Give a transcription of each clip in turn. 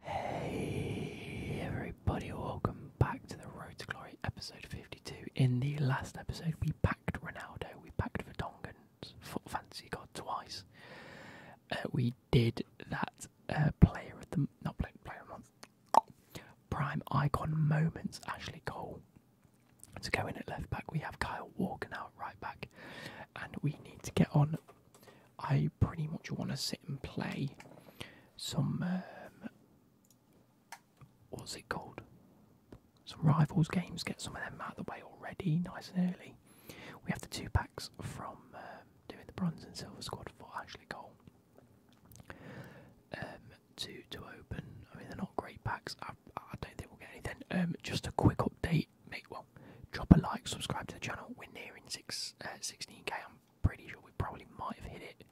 Hey everybody, welcome back to the Road to Glory episode 52. In the last episode, we packed Ronaldo, we packed Verdongen's foot fancy god twice. Uh, we did that uh, player of the not player of the month, prime icon moments, Ashley Cole. To go in at left back, we have Kyle Walker now at right back, and we need to get on I pretty much want to sit and play some um, what's it called? Some rivals games. Get some of them out of the way already, nice and early. We have the two packs from um, doing the bronze and silver squad for actually Cole um, to to open. I mean, they're not great packs. I, don't think we'll get anything. Um, just a quick update. well, drop a like, subscribe to the channel. We're nearing six uh, 16k pretty sure we probably might have hit it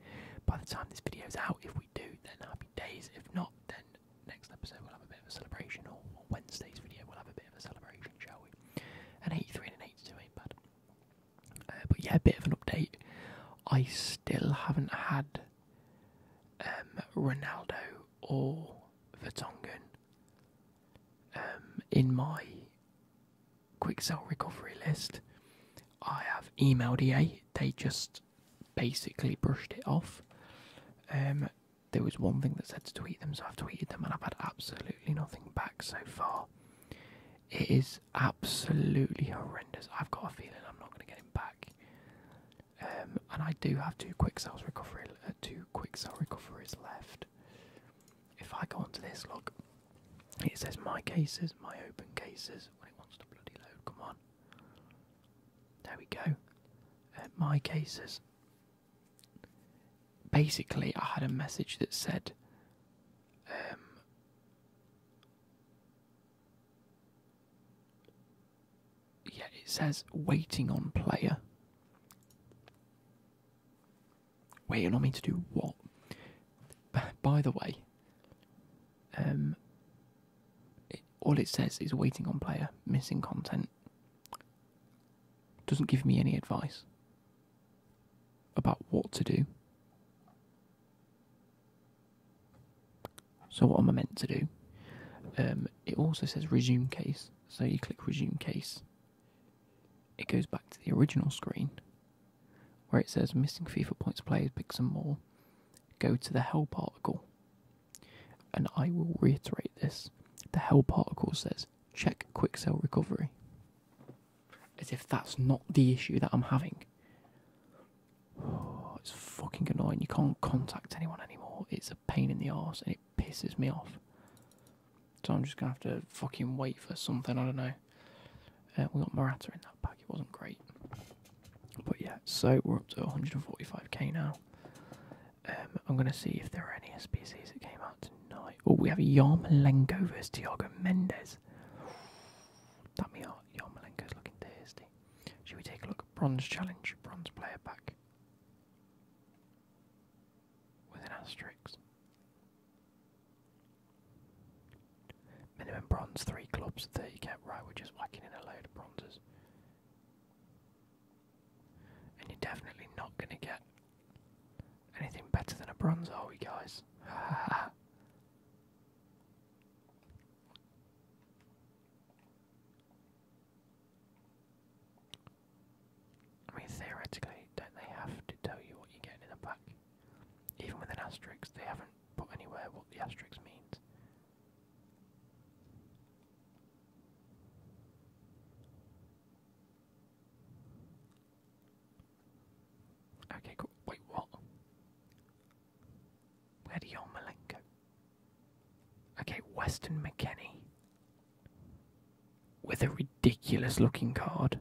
by the time this video is out. If we do, then happy days. If not, then next episode we'll have a bit of a celebration, or, Wednesday's video we'll have a bit of a celebration, shall we? An 83 and an 82 ain't bad. Uh, but yeah, a bit of an update. I still haven't had um, Ronaldo or Vertonghen um, in my quick sell recovery list. I have emailed EA. They just basically brushed it off. Um, there was one thing that said to tweet them, so I've tweeted them, and I've had absolutely nothing back so far. It is absolutely horrendous. I've got a feeling I'm not going to get him back. Um, and I do have two quick sales recovery, uh, two quick recoveries left. If I go onto this, look, it says my cases, my open cases, when it wants to bloody load, come on. There we go. Uh, my cases. Basically, I had a message that said, um, yeah, it says waiting on player. Wait, you're not meant to do what? By the way, um, all it says is waiting on player, missing content. Doesn't give me any advice about what to do. So what am I meant to do? Um, it also says resume case, so you click resume case, it goes back to the original screen where it says missing FIFA points players, pick some more. Go to the help article, and I will reiterate this the help article says check quick cell recovery. As if that's not the issue that I'm having. it's fucking annoying. You can't contact anyone anymore. It's a pain in the ass, and it pisses me off. So I'm just gonna have to fucking wait for something. I don't know. Uh, we got Morata in that pack. It wasn't great, but yeah. So we're up to 145k now. Um, I'm gonna see if there are any SPCs that came out tonight. Oh, we have Yarmolenko versus Tiago Mendes. That me out. Yarmolenko's looking tasty. Should we take a look? Bronze challenge. Bronze player pack with an asterisk. Minimum bronze, three clubs, that 30 cap. Right, we're just whacking in a load of bronzes. And you're definitely not going to get anything better than a bronze, are we, guys? I mean, theoretically, don't they have to tell you what you are getting in the pack? Even with an asterisk, they haven't put anywhere what the asterisk means. Okay, cool. Wait, what? Where do Yon Malenko? Okay, Weston McKenney. With a ridiculous looking card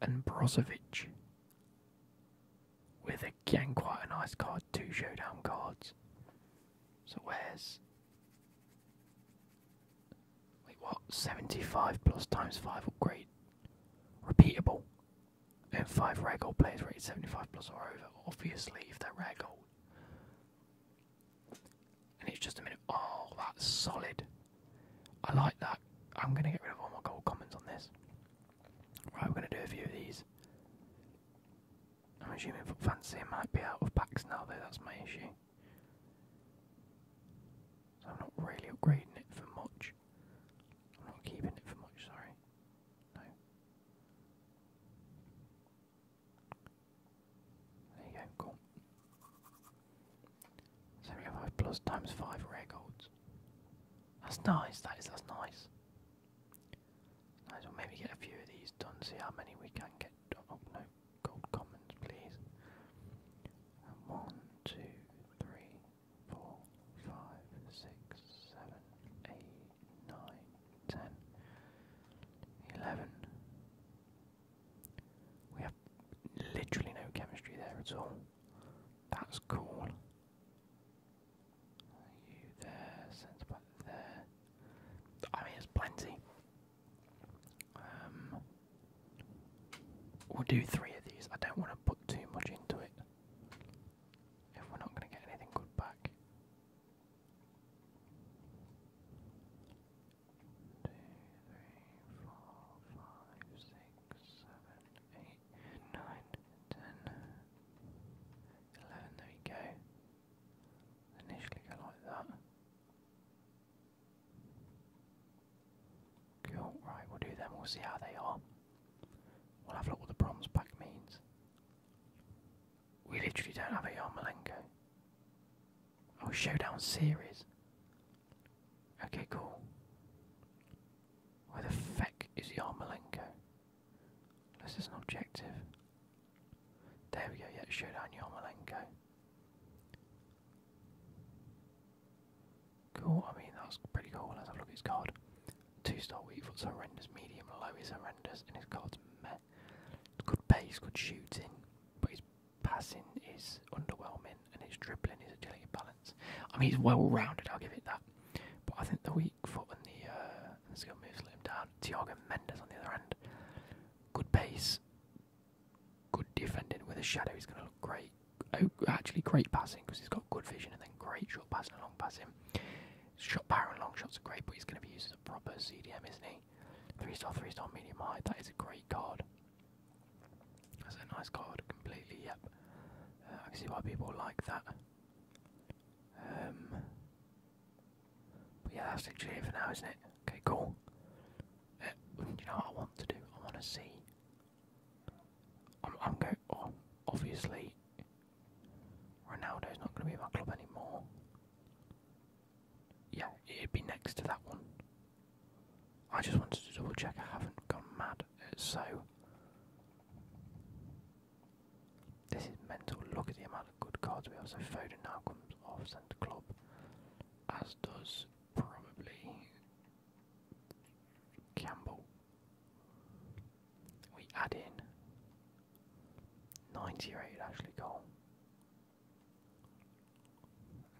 and Brozovic with again quite a nice card, two showdown cards. So where's wait what? Seventy five plus times five upgrade. Repeatable. And five ragdoll players rated seventy five plus or over. Obviously if they're ragdoll and it's just a minute. Oh, that's solid. I like that. I'm going to get rid of all my gold comments on this. Right, we're going to do a few of these. I'm assuming Fancy might be out of packs now, though, that's my issue. So I'm not really upgrading it for much. I'm not keeping it for much, sorry. There plus times 5 rare golds. That's nice, that is, that's nice. Nice, maybe get a few of these done, see how many we can get Oh no, gold commons please. And we have literally no chemistry there at all. That's cool. You I mean, it's plenty. Um, we'll do three of these. I don't want to put too much into it if we're not going to get anything good back. There we go. Initially go like that. Cool, right, we'll do them, we'll see how they are. We'll have a look what the bronze pack means. We literally don't have a Yarmolenko. Oh, Showdown Series. Okay, cool. Where the fuck is Yarmolenko? This is an objective. There we go, yeah, Showdown Yarmolenko. Cool, I mean, that's pretty cool. Let's have a look at his card. Two star weak foot's horrendous, medium low is horrendous, and his card's meh. Good base, good shooting, but he's passing is underwhelming and his dribbling, his agility, balance. I mean, he's well rounded. I'll give it that. But I think the weak foot and the, uh, the skill moves let him down. Thiago Mendes on the other end, good pace, good defending with a shadow. He's going to look great. Oh, actually, great passing because he's got good vision and then great short passing and long passing. Shot power and long shots are great, but he's going to be used as a proper CDM, isn't he? Three star, three star, medium high. That is a great card. That's a nice card. Completely, yep. Uh, I can see why people like that. Um, yeah, that's literally it for now, isn't it? Okay, cool. Uh, you know what I want to do? I want to see. I'm, I'm going. Oh, obviously, Ronaldo's not going to be in my club anymore yeah, it'd be next to that one. I just wanted to double check I haven't gone mad, uh, so. This is mental. Look at the amount of good cards we have. So Foden now comes off centre club, as does probably Campbell. We add in 90 rated Ashley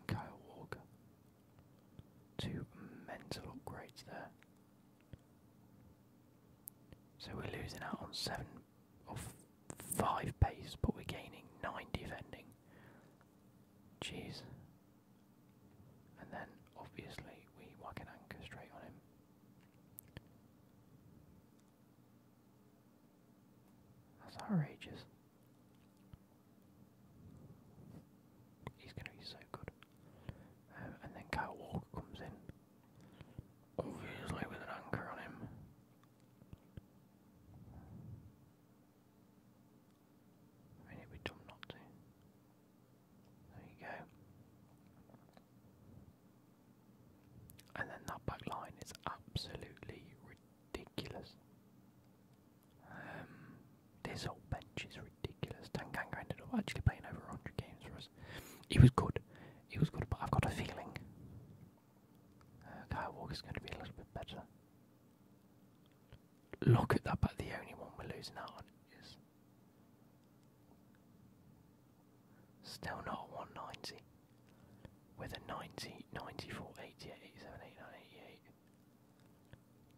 Kyle Walker. Two mental upgrades there. So we're losing out on seven or five pace, but we're gaining nine defending. Jeez. And then obviously we whack an anchor straight on him. That's outrageous. He's going to be so good. Um, and then Kyle Walker comes in, obviously with an anchor on him. I mean, it not to. There you go. And then that back line is absolutely ridiculous ridiculous. Um, this whole bench is ridiculous. Tanganga ended up actually playing over 100 games for us. He was good. He was good, but I've got a feeling uh, Kyle going to be a little bit better. Look at that, but the only one we're losing out on is still not 190 with a 90,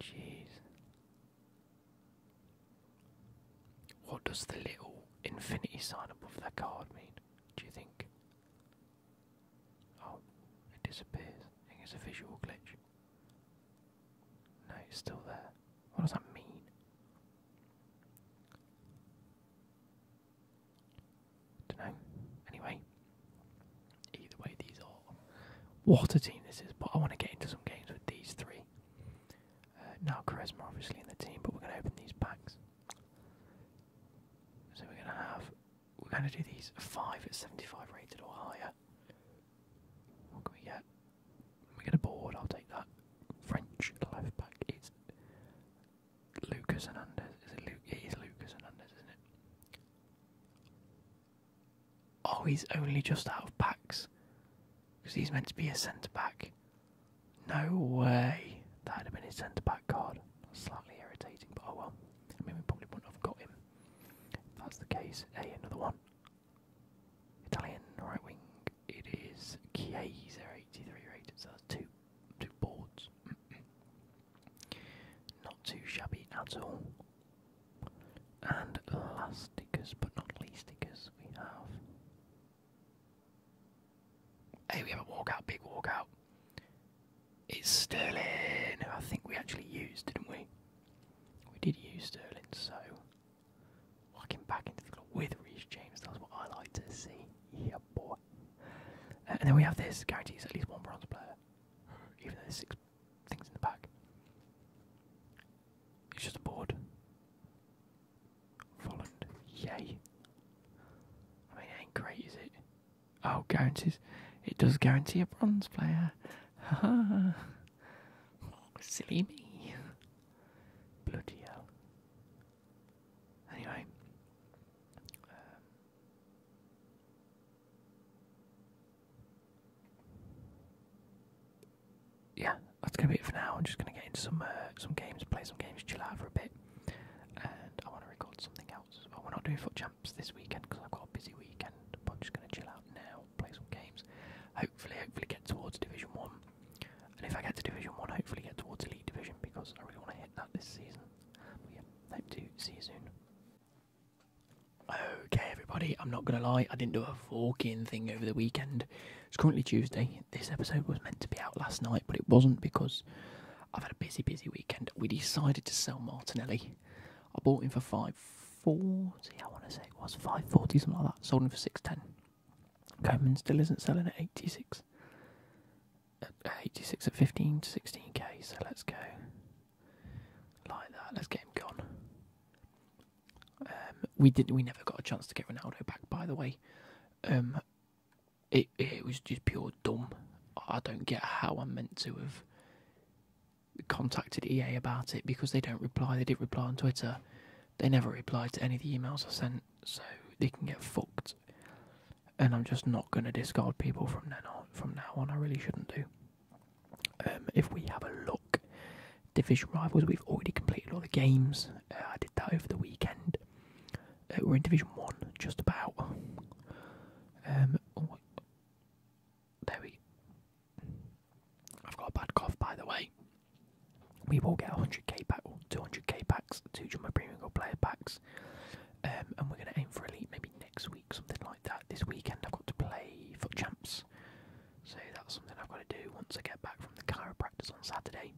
Jeez. What does the little infinity sign above that card mean? Do you think? Oh, it disappears. I think it's a visual glitch. No, it's still there. What does that mean? Don't know. Anyway, either way, these are what a team this is. But I want to get into some games with these three. Uh, now Charisma obviously in the team, but we're going to open these packs. So we're going to have we're going to do these five at seventy-five rated or higher. What can we get? We get a board. I'll take that. French left back It's Lucas Hernandez. Is it Lu it is Lucas Hernandez, isn't it? Oh, he's only just out of packs. Because he's meant to be a centre back. No way. That'd have been his centre back card. slightly irritating, but oh well. I mean, we probably wouldn't have got him. that's the case. Hey, another one. Italian right wing. It is Chiesa, 83 rated, so that's two, two boards. Not too shabby at all. And last stickers, but not least stickers, we have. Hey, we have a walkout, big walkout. It's Sterling, I think we actually used, didn't we? We did use Sterling, so walking back into the club with Reece James, that's what I like to see. Yeah, boy. Uh, and then we have this guarantees at least one bronze player even though there's six things in the back. It's just a board. Volland, yay. I mean, it ain't great, is it? Oh, guarantees. It does guarantee a bronze player. Ha Silly me. Bloody hell. Anyway. Um, yeah, that's gonna be it for now. I'm just gonna get into some uh, some games, play some games, chill out for a bit, and I want to record something else. Well, we're not doing foot champs this weekend because I've got a busy weekend. But I'm just gonna chill out now, play some games. Hopefully, hopefully get towards Division One, and if I get to Division One, hopefully get towards Elite Division because I really want to hit that this season. yeah, hope to see you soon. Okay, everybody, I'm not gonna lie, I didn't do a forking thing over the weekend. It's currently Tuesday. This episode was meant to be out last night, but it wasn't because I've had a busy, busy weekend. We decided to sell Martinelli. I bought him for five forty. I want to say it was five forty, something like that. Sold him for six ten. Coman still isn't selling at eighty six. At eighty six at fifteen to sixteen k. So let's go. Like that. Let's get him gone. Um, we did. We never got a chance to get Ronaldo back. By the way, um, it it was just pure dumb. I don't get how I'm meant to have contacted EA about it because they don't reply. They did not reply on Twitter. They never replied to any of the emails I sent, so they can get fucked and I'm just not going to discard people from now on. From now on, I really shouldn't do. Um, if we have a look, division rivals. We've already completed all the games. Uh, I did that over the weekend. Uh, we're in division one, just about. Um, oh, there we. I've got a bad cough, by the way. We will get 100k pack, 200k packs, two jumbo premium gold player packs. Um, and we're going to aim for elite maybe next week, something like that. This weekend I've got to play for champs, so that's something I've got to do once I get back from the chiropractor on Saturday.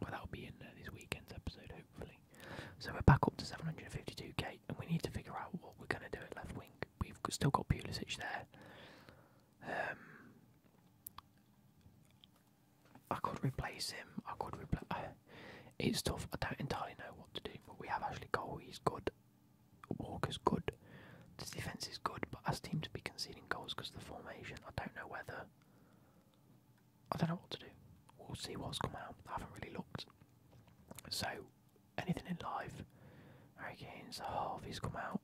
But that'll be in uh, this weekend's episode, hopefully. So we're back up to 752k, and we need to figure out what we're going to do at left wing. We've still got Pulisic there. Um, I could replace him. I could replace. It's tough. I don't entirely know what to do, but we have Ashley Cole. He's good. Walker's good. The defence is good, but as teams be conceding goals because of the formation, I don't know whether. I don't know what to do. We'll see what's come out. I haven't really looked. So, anything in life. Harry half, he's come out.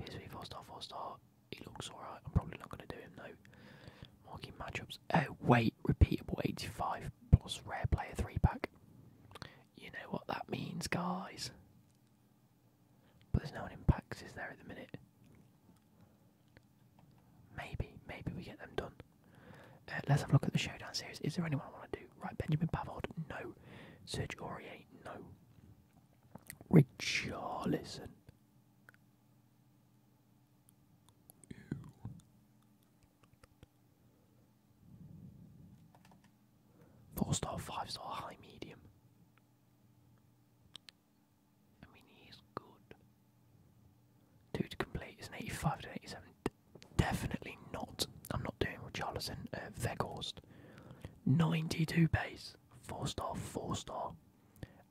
PSV 4 star, 4 star. He looks alright. I'm probably not going to do him though. Marquee matchups. Oh, uh, wait, repeatable 85 plus rare player 3 pack. You know what that means, guys. But there's no one in packs, is there, at the minute? Maybe, maybe we get them done. Uh, let's have a look at the Showdown series. Is there anyone I want to do? Right, Benjamin Pavard, no. Serge Aurier, no. Richarlison. Ew. Four star, five star, high, medium. I mean, he's good. Two to complete is an 85 to 87. definitely not. I'm not doing Richarlison, uh, Veghorst. 92 base. four star, four star.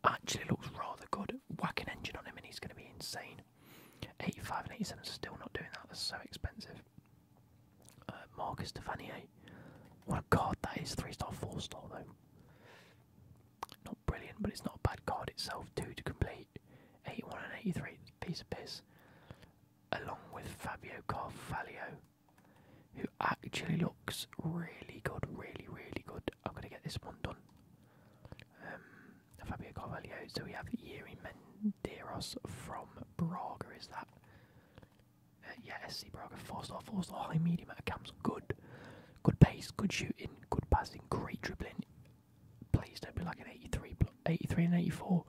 Actually looks rather good. Whacking engine on him and he's going to be insane. 85 and 87 are still not doing that, that's so expensive. Uh, Marcus Tefanier, what a card that is, 3 star, 4 star though. Not brilliant, but it's not a bad card itself, 2 to complete. 81 and 83, piece of piss. Along with Fabio Carvalho, who actually looks really good, really, really good. I'm going to get this one done. Um, Fabio Carvalho. So we have Yuri Menderos from Braga, is that? Uh, yeah, SC Braga, 4-star, 4-star, high medium at camps, good. Good pace, good shooting, good passing, great dribbling. Please don't be like an 83, and 84.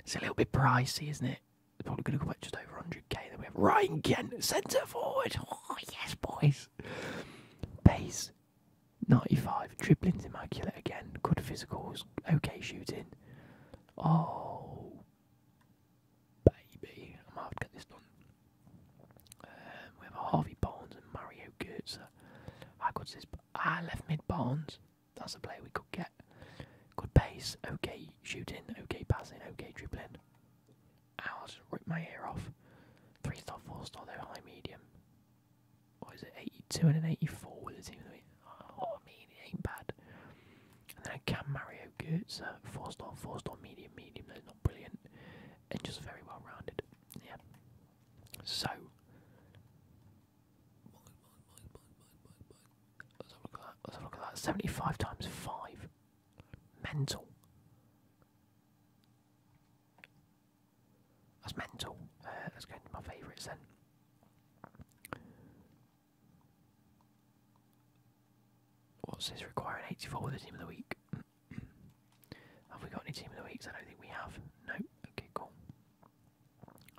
It's a little bit pricey, isn't it? probably going to go at just over 100k. Then we have Ryan Kent, centre forward. Oh, yes, boys. Pace, 95. Dribbling's immaculate again. Good physicals. Okay shooting. Oh, baby. I might have to get this done. Um, we have Harvey Barnes and Mario Goetzer. I got this. I left mid Barnes. That's a player we could get. Good pace. Okay shooting. Okay passing. Okay dribbling. I'll just rip my ear off. Three star, four star, They're high medium what is it, 82 and an 84 with the team of Oh, I mean, it ain't bad. And then I can Mario Goetz, uh, 4 star, 4 star, medium, medium, that's not brilliant. And just very well rounded. Yeah. So. Let's have a look at that. Let's have a look at that. 75 times 5. Mental. That's mental. Uh, let's go into my favourites then. What's this requiring? 84 with the team of the week. have we got any team of the weeks? I don't think we have. No. Okay, cool.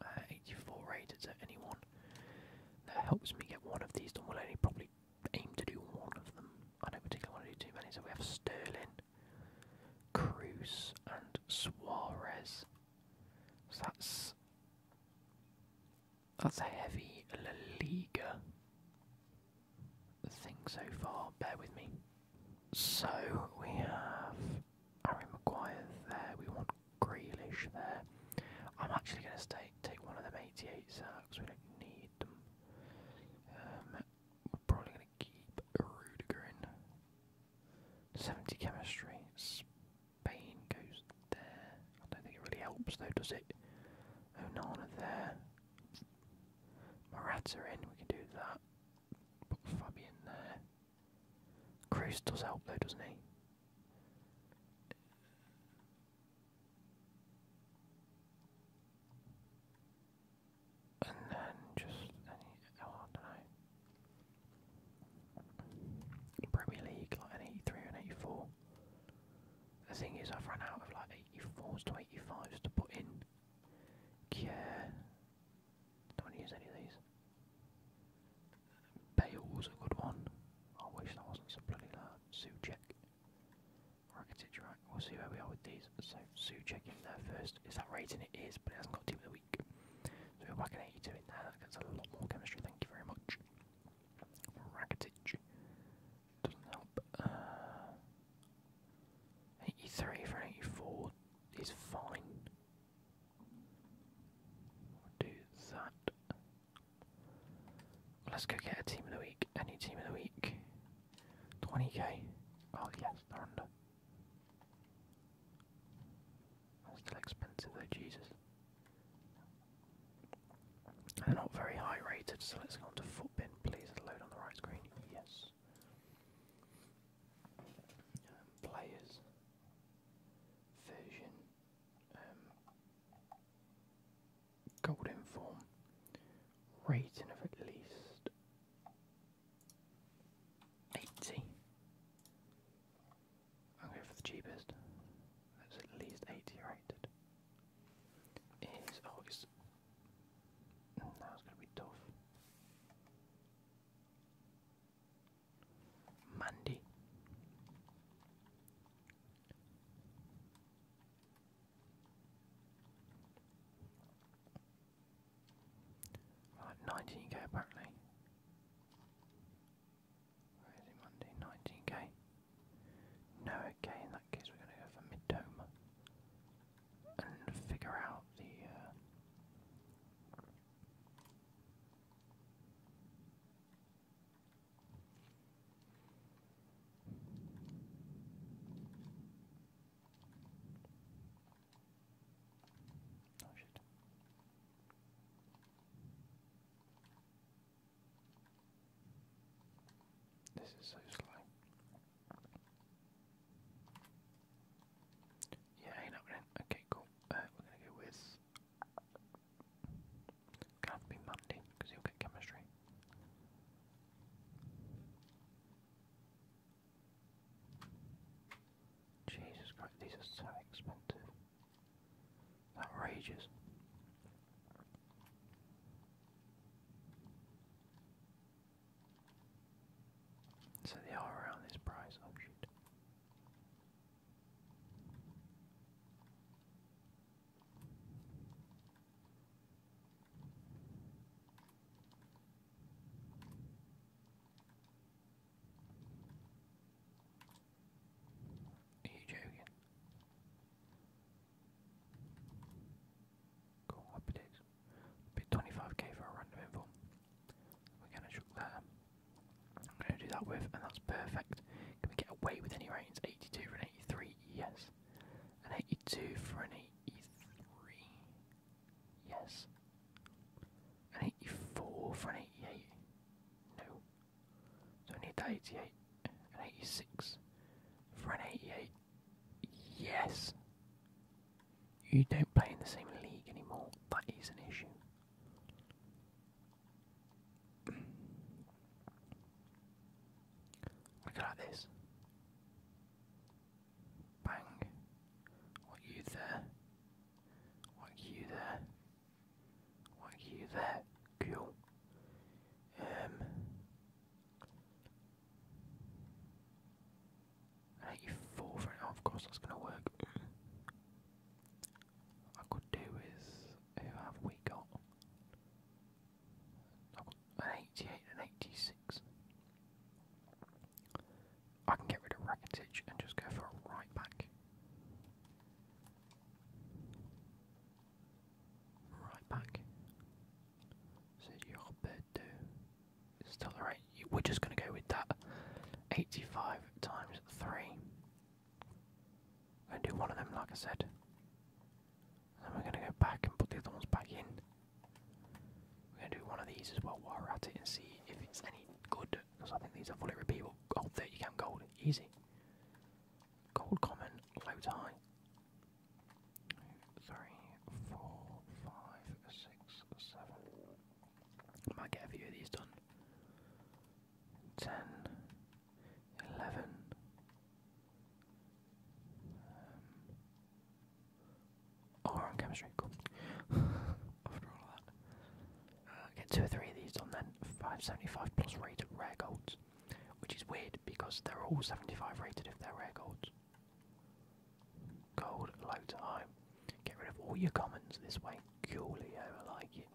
Uh, 84 rated to anyone. That helps me get one of these done. We'll only probably aim to do one of them. I don't particularly want to do too many, so we have Sterling. Cruz and Suarez. So that's that's a heavy La Liga thing so far. Bear with me. So we have Harry Maguire there. We want Grealish there. I'm actually going to take one of them 88s out because we don't need them. Um, probably going to keep Rudiger 70 chemistry. Spain goes there. I don't think it really helps though, does it? Onana there. rats are in, we can do that. Put Fabian there. Cruz does help though, doesn't he? and then just any oh, I don't know Premier League like an eighty three and eighty four. The thing is I've run out of like eighty fours to eighty fives to put in. Yeah. Don't want any of these. Bale's a good one. I wish that wasn't so bloody loud. Suchek. Rakitic, right? We'll see where we are with these. So Sue check in there first. Is that rating? It is, but it hasn't got team of the week. So we're back at 82 in there. That gets a lot more chemistry. Thank you very much. Rakitic doesn't help. Uh, 83 for an 84 is fine. do that. Let's go get a team of the week. Any team of the week. 20k. Oh yes, they're under still expensive though, Jesus. They're not very high rated, so let's go on to Footbin, please. load on the right screen. Yes. Um, players. Version. Um, golden form. Rating of at least 80. I'll go for the cheapest. That's at least 80 rated. Is oh it's gonna be tough. Mandy. Right, 19k apparently. Where is it Monday? 19k. No, okay, in that case we're going to go for mid-dome. And figure out the... Uh, Oh shit. This is so slow. Yeah, hang up Okay, cool. Uh, we're gonna go with. Can't be Monday because he'll get chemistry. Jesus Christ, these are so expensive. Outrageous. So they are around this price, oh shit. Are you joking? Cool, I predict. 25k for a random info. We're gonna chuck there. I'm gonna do that with, and that's perfect. Can we get away with any ratings? 82 for an 83, yes. An 82 for an 83. Yes. An 84 for an 88? No. So I need that 88. An 86 for an 88? Yes. You don't play in the same league anymore. That is an issue. Look at this. Bang. What you there? What you there? What you there? Cool. Um I you four for it. Oh, of course that's gonna work. What I could do is who have we got? I've got an eighty eight and eighty six. I can get rid of Rakitic and just go for right back. Right back. So Roberto is still alright. We're just going to go with that. 85 times 3. going to do one of them, like I said. then we're going to go back and put the other ones back in. We're gonna do one of these as well while we're at it and see if it's any good, because I think these are fully repeatable. Gold 30 cam gold, easy. Gold common, low tie. Three, four, five, six, seven. I might get a few of these done. Ten, eleven. Um, Oh, on chemistry, cool. After all that. Uh, get two or three of these done then. 575 plus rated rare golds. Which is weird because they're all 75 rated if they're rare golds. Gold, low to high. Get rid of all your commons this way. Cool, I like it.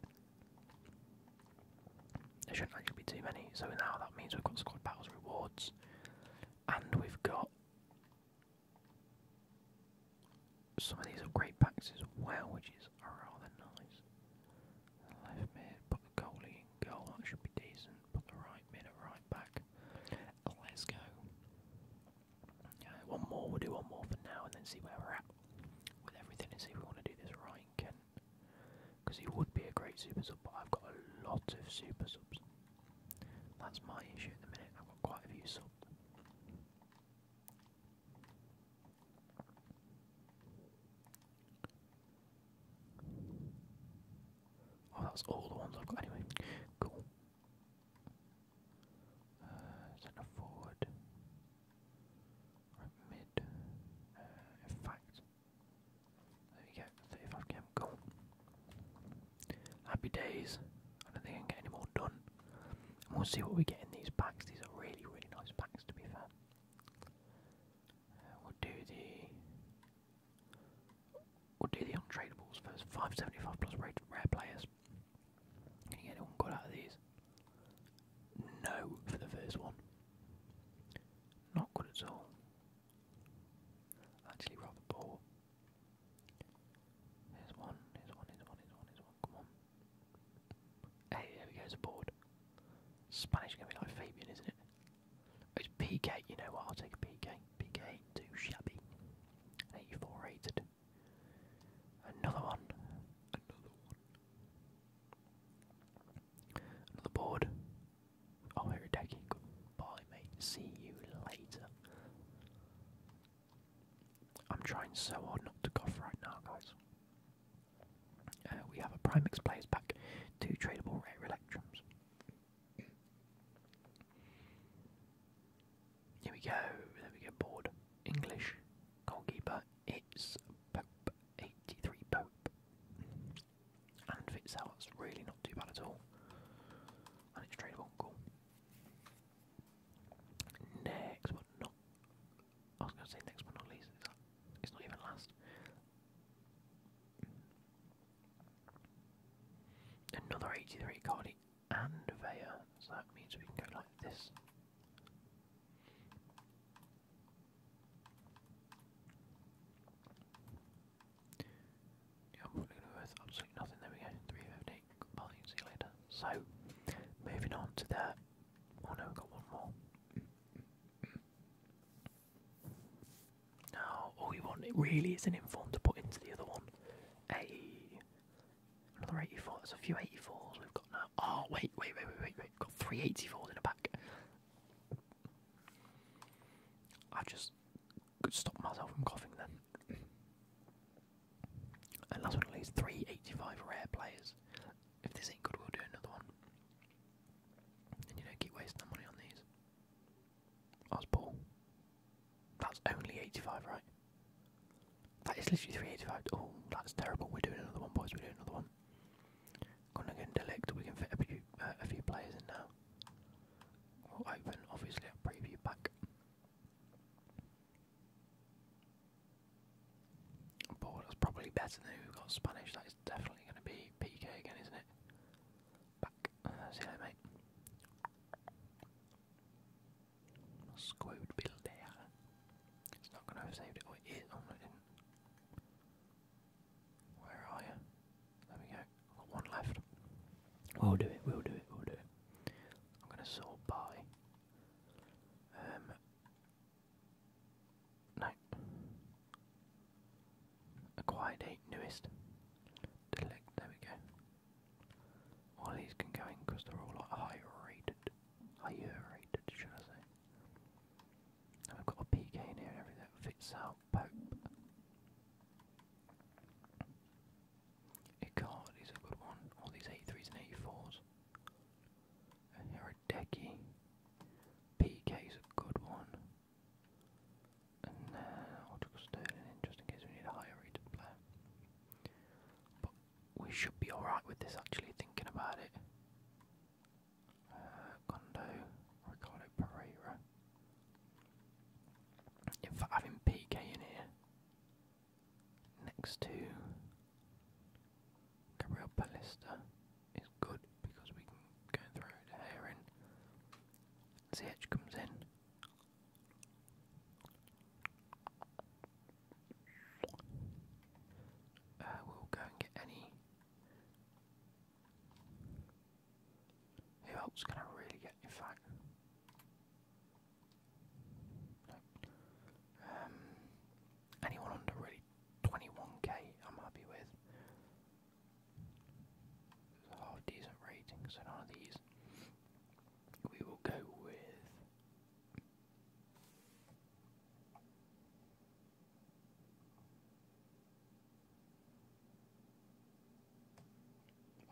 There shouldn't actually be too many. So now that means we've got squad battles rewards. And we've got some of these are great packs as well, which is rather nice. Left mid, put the goalie goal, that should be decent. Put the right mid at right back. Let's go. Uh, one more, we'll do one more for now and then see where we're at with everything and see if we want to do this right in Because he would be a great super sub, but I've got a lot of super subs. That's my issue at the minute. I've got quite a few subs. Oh, that was all the ones I've got anyway. Cool. centre uh, forward. mid. Uh, in fact, there we go. 35 cam. Cool. Happy days. I don't think I can get any more done. And we'll see what we get in these packs. These are really, really nice packs, to be fair. Uh, we'll do the. We'll do the untradeables first. 575 plus rare players. Can you get out of these? No for the first one. Not good at all. Actually, rather poor. Here's one, here's one, here's one, here's one, here's one, come on. Hey, there we go, it's a board. Spanish going to be like Fabian, isn't it? Oh, it's PK, you know what, I'll take a PK. PK ain't too shabby. 84 rated. Another one. Another one. Another board. Oh, Hirodeki, goodbye mate, see you later. I'm trying so hard not to cough right now, guys. Uh, we have a Primex players pack, two tradable rare electrums. Here we go, there we go, board. English goalkeeper, it's Pope, 83 Pope. And fits really not too bad at all. And it's tradable, cool. Next but not I was gonna say next but not least, it's, not even last. Another 83 Cardi and Veya, so that means we can go like this absolutely nothing. There we go, 350. see you later. So, moving on to that. Oh no, got one more. Now, all we want really is an inform to put into the other one. A another 84. That's a few 84s we've got now. Oh, wait, wait, wait, wait, wait, We've got three eighty fours in a pack. I just could stop myself from coughing then. and last but not least, 385 rare players. If this ain't good, we'll do another one. And you know, keep wasting the money on these. I Paul. That's only 85, right? That is literally 385. Oh, that's terrible. We're doing another one, boys. We're doing another one. Gonna get Delict. We can fit a few, uh, a few players in now. We'll open, obviously, a preview pack. But that's probably better than who got Spanish. That is definitely going to be PK again, isn't it? Uh, Squid builder. It's not going to have saved it. Oh, oh, Where are you? There we go. got one left. We'll do it, we'll do it, we'll do it. I'm gonna sort by. Um No. Acquired newest. Delect there we go. All these can go in because they're all like higher rated. Higher rated, should I say. And have got a PK in here and everything fits out Icard is a good one. All these 83s and 84s. Herodeki. PK is a good one. And uh, I'll just Sterling in just in case we need a higher rated player. But we should be alright with this actually, thinking about it. Uh, Gondo, Ricardo Pereira. In having PK in here next to Gabriel Palista is good because we can go and throw the hair in. CH comes in. Uh, we'll go and get any. Who else can I really get? In fact, no. Um, anyone under really 21k, I'm happy with. half decent rating, so none these. We will go with.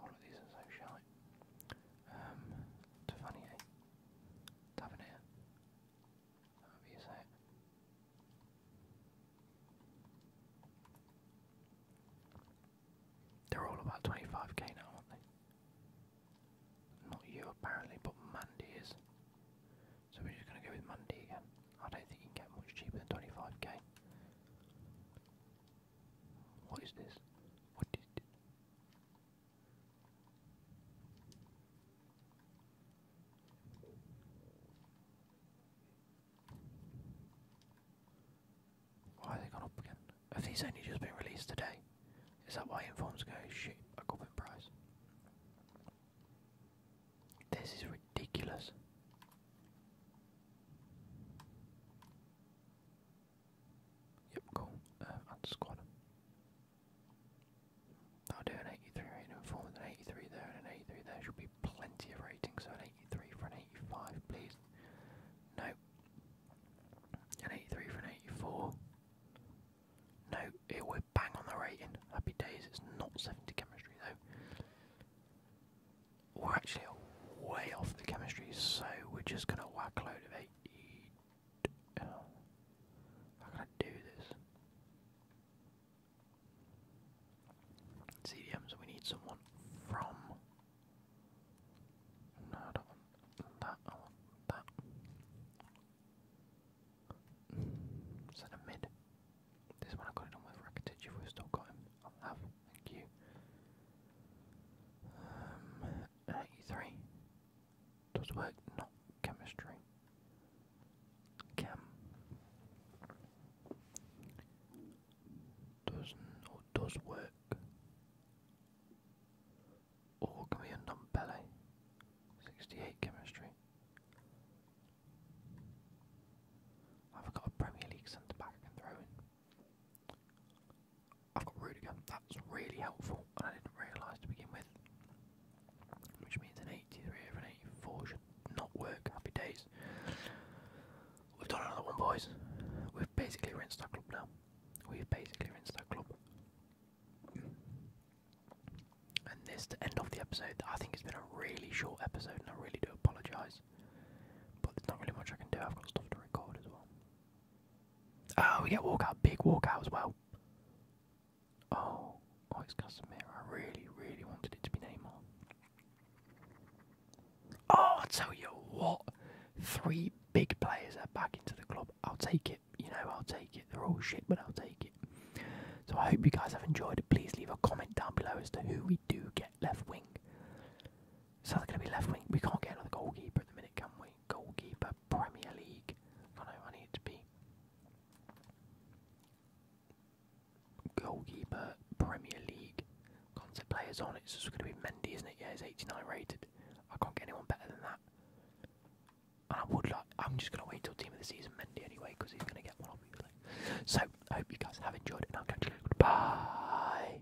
All of these are so shy. Um, it's funny, eh? you say They're all about 25k now, aren't they? Not you apparently, but Mandy is. So we're just going to go with Mandy again. I don't think you can get much cheaper than 25k. What is this? What is this? Why has gone up again? Have these only just been released today? Is that why informs go shit a up in price? This is ridiculous. Yep, cool. Um, uh, and squad. That'll do an 83 rating an 83 there and an 83 there. Should be plenty of ratings. so an 83 for an 85, please. No. An 83 for an 84. No, it would bang on the rating. Happy days, it's not 70 chemistry though. Or actually, it way off the chemistry, so we're just gonna whack load of eight. How can I do this? CDM, we need someone from. not that. I want that. Is that a mid? This one I got it on with Rakitic. If we still got him, I'll have. Thank you. Um, uh, E3. Does work, not chemistry. Chem. Doesn't or does work. Or can we end on ballet? 68 chemistry. I've got a Premier League centre back I throw in. I've got Rudiger. Um, That's really helpful, and I didn't realise to begin with. Which means an 83 over an 84 should not work. Happy days. We've done another one, boys. We've basically rinsed that club now. We've basically rinsed that club. And this is the end of the episode. I think it's been a really short episode, and I really do apologise. But there's not really much I can do. I've got stuff to record as well. Oh, we get walkout, big walkout as well. Oh, oh, it's Casemiro. I really, really wanted it to be Neymar. Oh, I tell you what, three big players are back into the club. I'll take it. You know, I'll take it. They're all shit, but I'll take it. So I hope you guys have enjoyed it. Please leave a comment down below as to who we do get left wing. So they're going to be left wing. We can't get another goalkeeper at the minute, can we? Goalkeeper, Premier League. I know, I need to be. Goalkeeper, Premier League. Concept players on. It's just going to be Mendy, isn't it? Yeah, he's 89 rated. I can't get anyone better than that. And I would like. I'm just going to wait until team of the season Mendy anyway, because he's going to get one, obviously. So I hope you guys have enjoyed, it. I'll catch you later. Bye.